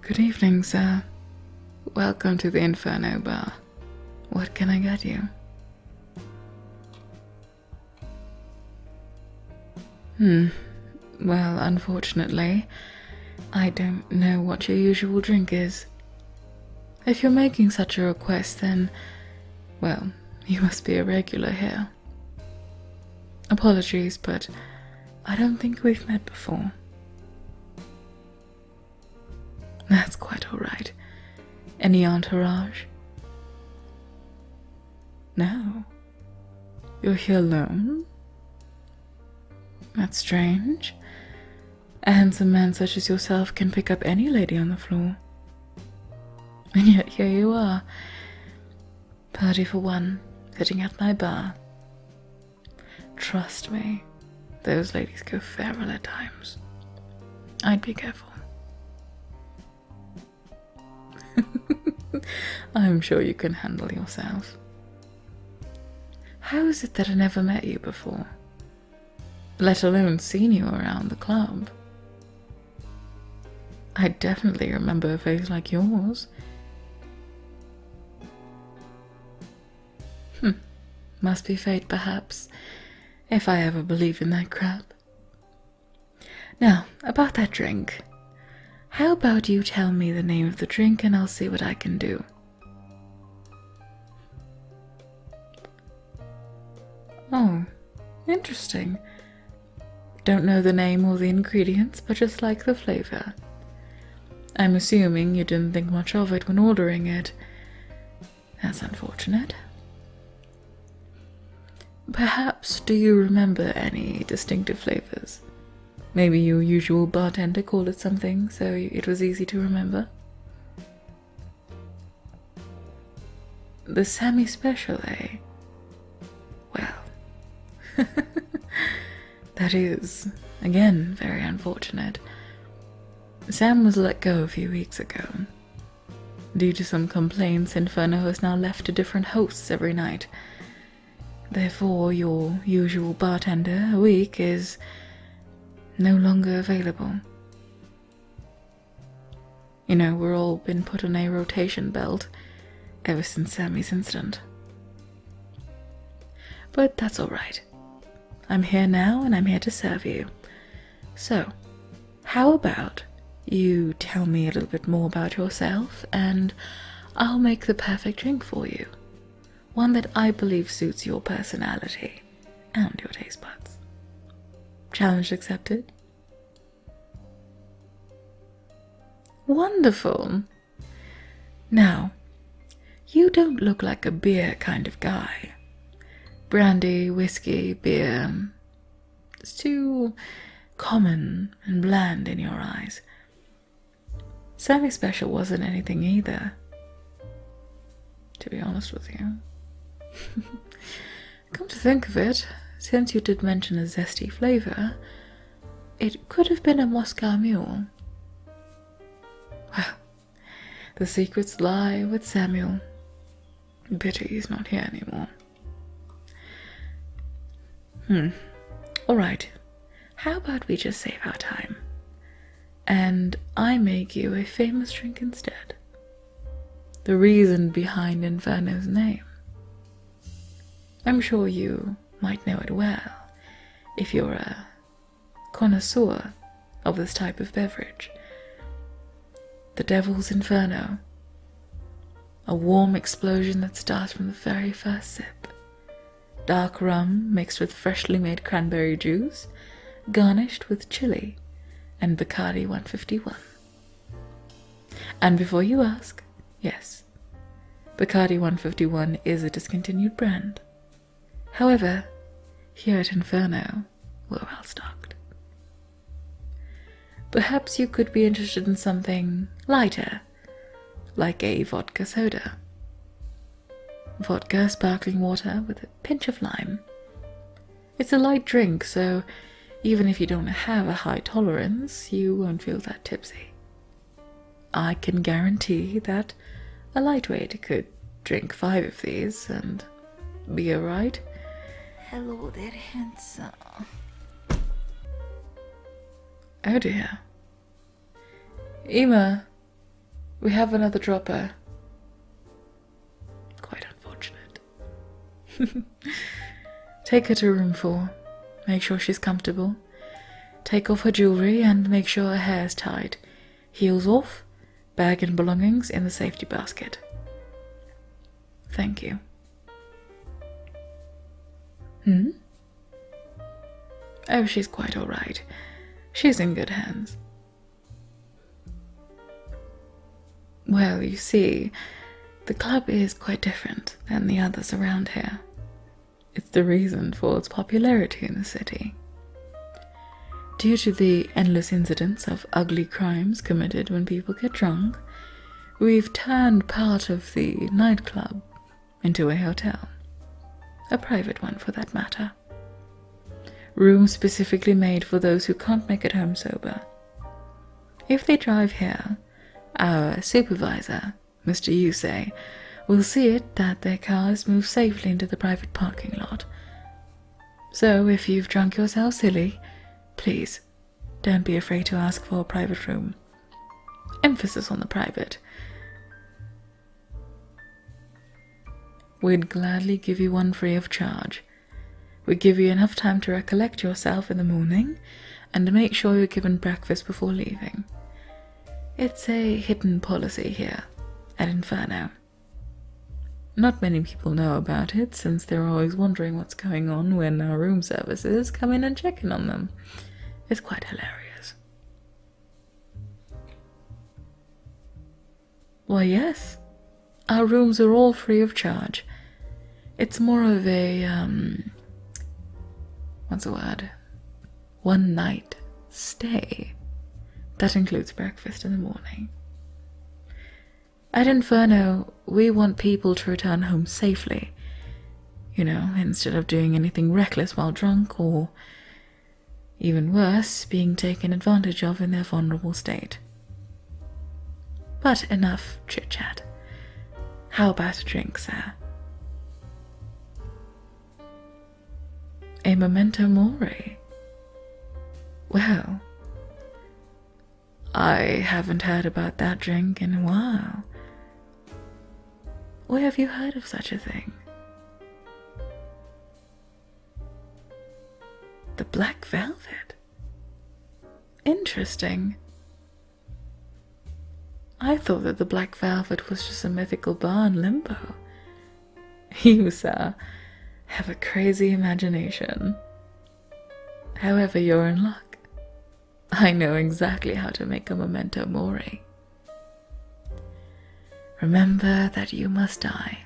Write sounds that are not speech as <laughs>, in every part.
Good evening, sir. Welcome to the Inferno Bar. What can I get you? Hmm. Well, unfortunately, I don't know what your usual drink is. If you're making such a request, then, well, <laughs> you must be a regular here. Apologies, but I don't think we've met before. That's quite alright. Any entourage? No. You're here alone? That's strange. A handsome man such as yourself can pick up any lady on the floor. And yet here you are, party for one, sitting at my bar. Trust me, those ladies go feral at times. I'd be careful. <laughs> I'm sure you can handle yourself. How is it that I never met you before? Let alone seen you around the club. I definitely remember a face like yours. Hm, must be fate perhaps, if I ever believe in that crap. Now, about that drink. How about you tell me the name of the drink and I'll see what I can do? Oh, interesting. Don't know the name or the ingredients, but just like the flavor. I'm assuming you didn't think much of it when ordering it. That's unfortunate. Perhaps do you remember any distinctive flavors? Maybe your usual bartender called it something, so it was easy to remember. The semi special, eh? Well, <laughs> that is, again, very unfortunate. Sam was let go a few weeks ago. Due to some complaints, Inferno has now left to different hosts every night. Therefore, your usual bartender, a Week, is no longer available. You know, we're all been put on a rotation belt ever since Sammy's incident. But that's alright. I'm here now and I'm here to serve you. So, how about you tell me a little bit more about yourself and I'll make the perfect drink for you? One that I believe suits your personality and your taste buds. Challenge accepted? Wonderful! Now, you don't look like a beer kind of guy. Brandy, whiskey, beer, it's too common and bland in your eyes. Sammy Special wasn't anything either, to be honest with you. <laughs> Come to think of it, since you did mention a zesty flavour, it could have been a Moscow mule. Well, the secrets lie with Samuel. Pity he's not here anymore. Hmm. All right. How about we just save our time? And I make you a famous drink instead. The reason behind Inferno's name. I'm sure you might know it well if you're a connoisseur of this type of beverage. The Devil's Inferno. A warm explosion that starts from the very first sip. Dark rum mixed with freshly made cranberry juice, garnished with chili and Bacardi 151. And before you ask, yes, Bacardi 151 is a discontinued brand. However, here at Inferno, we're well stocked. Perhaps you could be interested in something lighter, like a vodka soda. Vodka sparkling water with a pinch of lime. It's a light drink, so even if you don't have a high tolerance, you won't feel that tipsy. I can guarantee that a lightweight could drink five of these and be alright? Hello there, handsome. Oh dear. Emma, we have another dropper. Quite unfortunate. <laughs> Take her to room four. Make sure she's comfortable. Take off her jewelry and make sure her hair's tied. Heels off, bag and belongings in the safety basket. Thank you. Hmm? Oh, she's quite alright. She's in good hands. Well, you see, the club is quite different than the others around here. It's the reason for its popularity in the city. Due to the endless incidents of ugly crimes committed when people get drunk, we've turned part of the nightclub into a hotel. A private one, for that matter. Rooms specifically made for those who can't make it home sober. If they drive here, our supervisor, Mr. Usay, will see it that their cars move safely into the private parking lot. So if you've drunk yourself silly, please don't be afraid to ask for a private room. Emphasis on the private. We'd gladly give you one free of charge. We give you enough time to recollect yourself in the morning and make sure you're given breakfast before leaving. It's a hidden policy here at Inferno. Not many people know about it since they're always wondering what's going on when our room services come in and check in on them. It's quite hilarious. Why, yes, our rooms are all free of charge. It's more of a, um, what's the word? One night stay. That includes breakfast in the morning. At Inferno, we want people to return home safely, you know, instead of doing anything reckless while drunk or, even worse, being taken advantage of in their vulnerable state. But enough chit chat. How about a drink, sir? A memento mori. Well, I haven't heard about that drink in a while. Where have you heard of such a thing? The black velvet? Interesting. I thought that the black velvet was just a mythical bar in Limbo, <laughs> You, sir, have a crazy imagination. However, you're in luck. I know exactly how to make a memento mori. Remember that you must die.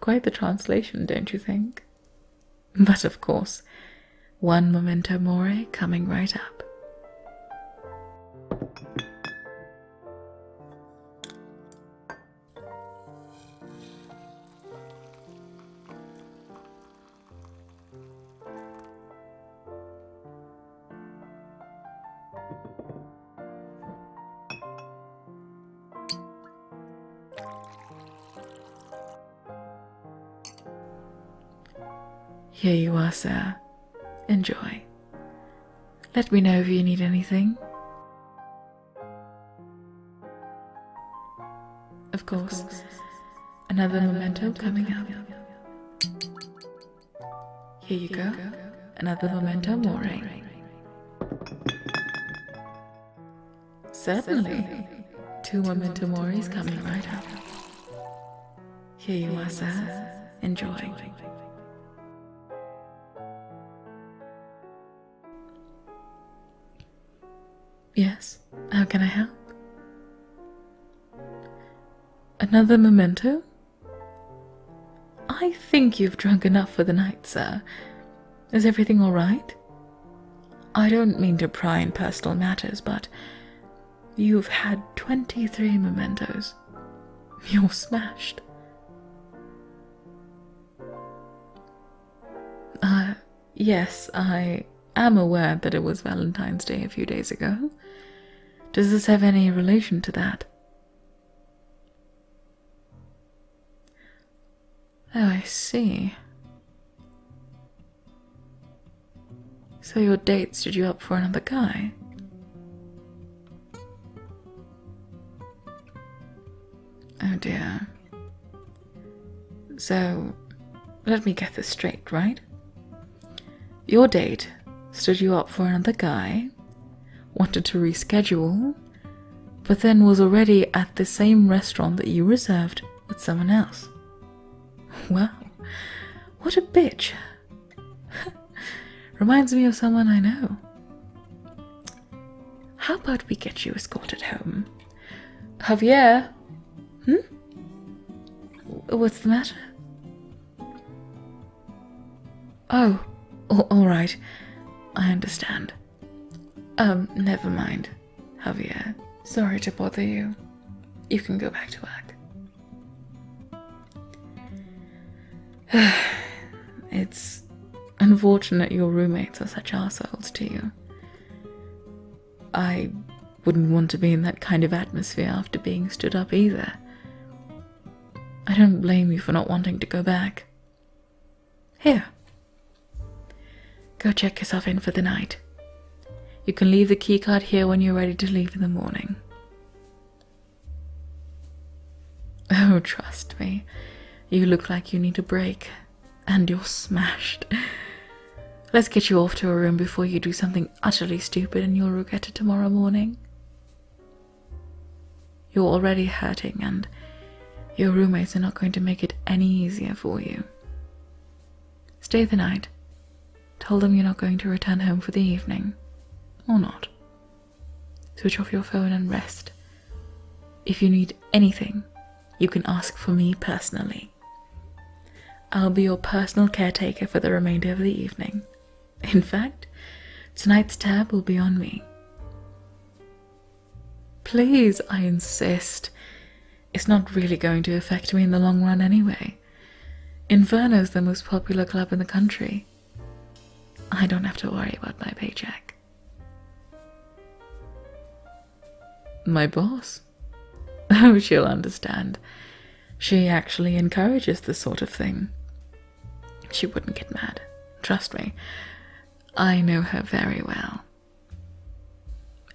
Quite the translation, don't you think? But of course, one memento mori coming right up. Here you are, sir, Enjoy. Let me know if you need anything. Of course, Another, another memento, coming, up. Here you go. Another, another memento more. Certainly. Certainly. Two memento mori coming right up. Here you are, sir. Enjoy. Yes, how can I help? Another memento? I think you've drunk enough for the night, sir. Is everything all right? I don't mean to pry in personal matters, but You've had 23 mementos. You're smashed. Uh, yes, I am aware that it was Valentine's Day a few days ago. Does this have any relation to that? Oh, I see. So your date stood you up for another guy? Oh dear. So, let me get this straight, right? Your date stood you up for another guy, wanted to reschedule, but then was already at the same restaurant that you reserved with someone else. Well, what a bitch! <laughs> Reminds me of someone I know. How about we get you escorted home? Javier? Hmm? What's the matter? Oh, alright. I understand. Um, never mind, Javier. Sorry to bother you. You can go back to work. <sighs> it's unfortunate your roommates are such assholes to you. I wouldn't want to be in that kind of atmosphere after being stood up either. I don't blame you for not wanting to go back. Here. Go check yourself in for the night. You can leave the keycard here when you're ready to leave in the morning. <laughs> Oh, trust me, you look like you need a break, and you're smashed. <laughs> Let's get you off to a room before you do something utterly stupid and you'll regret it tomorrow morning. You're already hurting, and your roommates are not going to make it any easier for you. Stay the night. Tell them you're not going to return home for the evening. Or not. Switch off your phone and rest. If you need anything, you can ask for me personally. I'll be your personal caretaker for the remainder of the evening. In fact, tonight's tab will be on me. Please, I insist it's not really going to affect me in the long run anyway. Inferno's the most popular club in the country. I don't have to worry about my paycheck. My boss? <laughs> Oh, she'll understand. She actually encourages this sort of thing. She wouldn't get mad, trust me. I know her very well.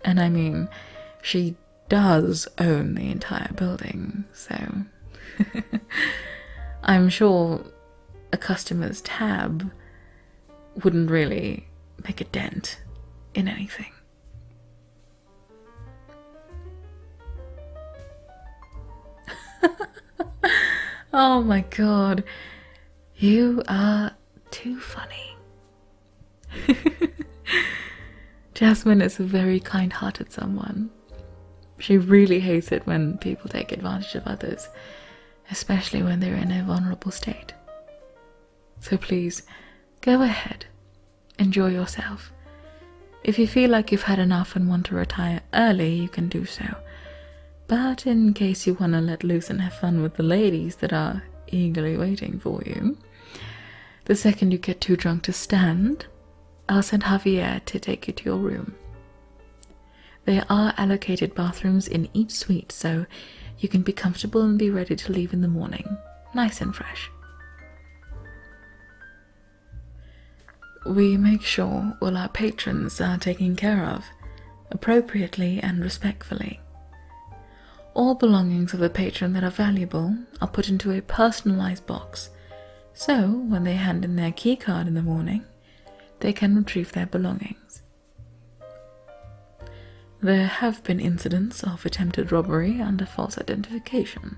And I mean, she does own the entire building, so <laughs> I'm sure a customer's tab wouldn't really make a dent in anything. <laughs> oh my god, you are too funny. <laughs> Jasmine is a very kind hearted someone. She really hates it when people take advantage of others, especially when they're in a vulnerable state. So please, go ahead, enjoy yourself. If you feel like you've had enough and want to retire early, you can do so. But in case you want to let loose and have fun with the ladies that are eagerly waiting for you. The second you get too drunk to stand, I'll send Javier to take you to your room. There are allocated bathrooms in each suite, so you can be comfortable and be ready to leave in the morning, nice and fresh. We make sure all our patrons are taken care of appropriately and respectfully. All belongings of the patron that are valuable are put into a personalized box, so when they hand in their key card in the morning, they can retrieve their belongings. There have been incidents of attempted robbery under false identification,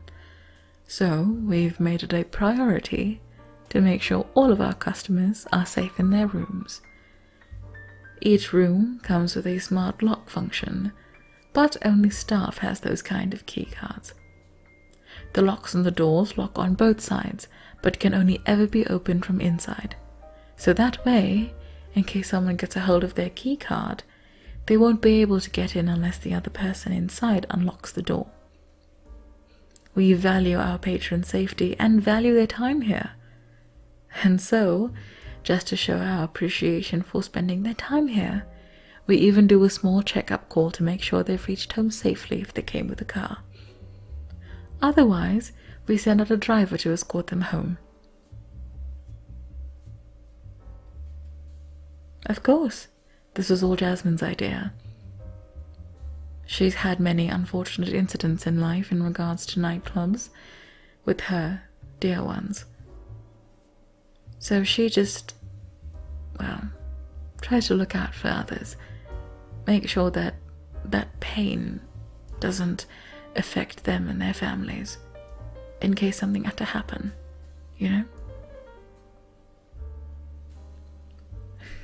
so we've made it a priority to make sure all of our customers are safe in their rooms, each room comes with a smart lock function, but only staff has those kind of keycards. The locks on the doors lock on both sides, but can only ever be opened from inside. So that way, in case someone gets a hold of their keycard, they won't be able to get in unless the other person inside unlocks the door. We value our patron's safety and value their time here. And so, just to show our appreciation for spending their time here, we even do a small checkup call to make sure they've reached home safely if they came with a car. Otherwise, we send out a driver to escort them home. Of course, this was all Jasmine's idea. She's had many unfortunate incidents in life in regards to nightclubs with her dear ones. So she just, well, tries to look out for others, make sure that that pain doesn't affect them and their families in case something had to happen, you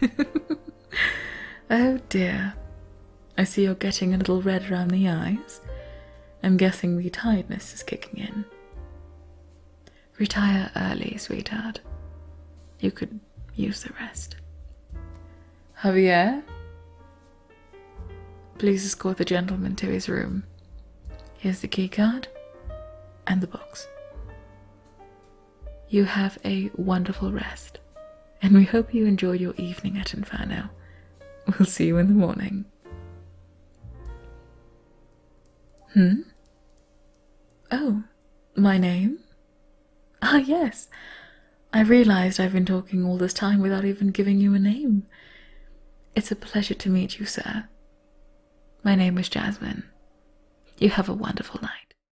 know? <laughs> oh dear. I see you're getting a little red around the eyes. I'm guessing the tiredness is kicking in. Retire early, sweetheart. You could use the rest. Javier? Please escort the gentleman to his room. Here's the key card and the box you have a wonderful rest, and we hope you enjoy your evening at Inferno. We'll see you in the morning. Hmm? Oh, my name? Ah, yes. I realized I've been talking all this time without even giving you a name. It's a pleasure to meet you, sir. My name is Jasmine. You have a wonderful night.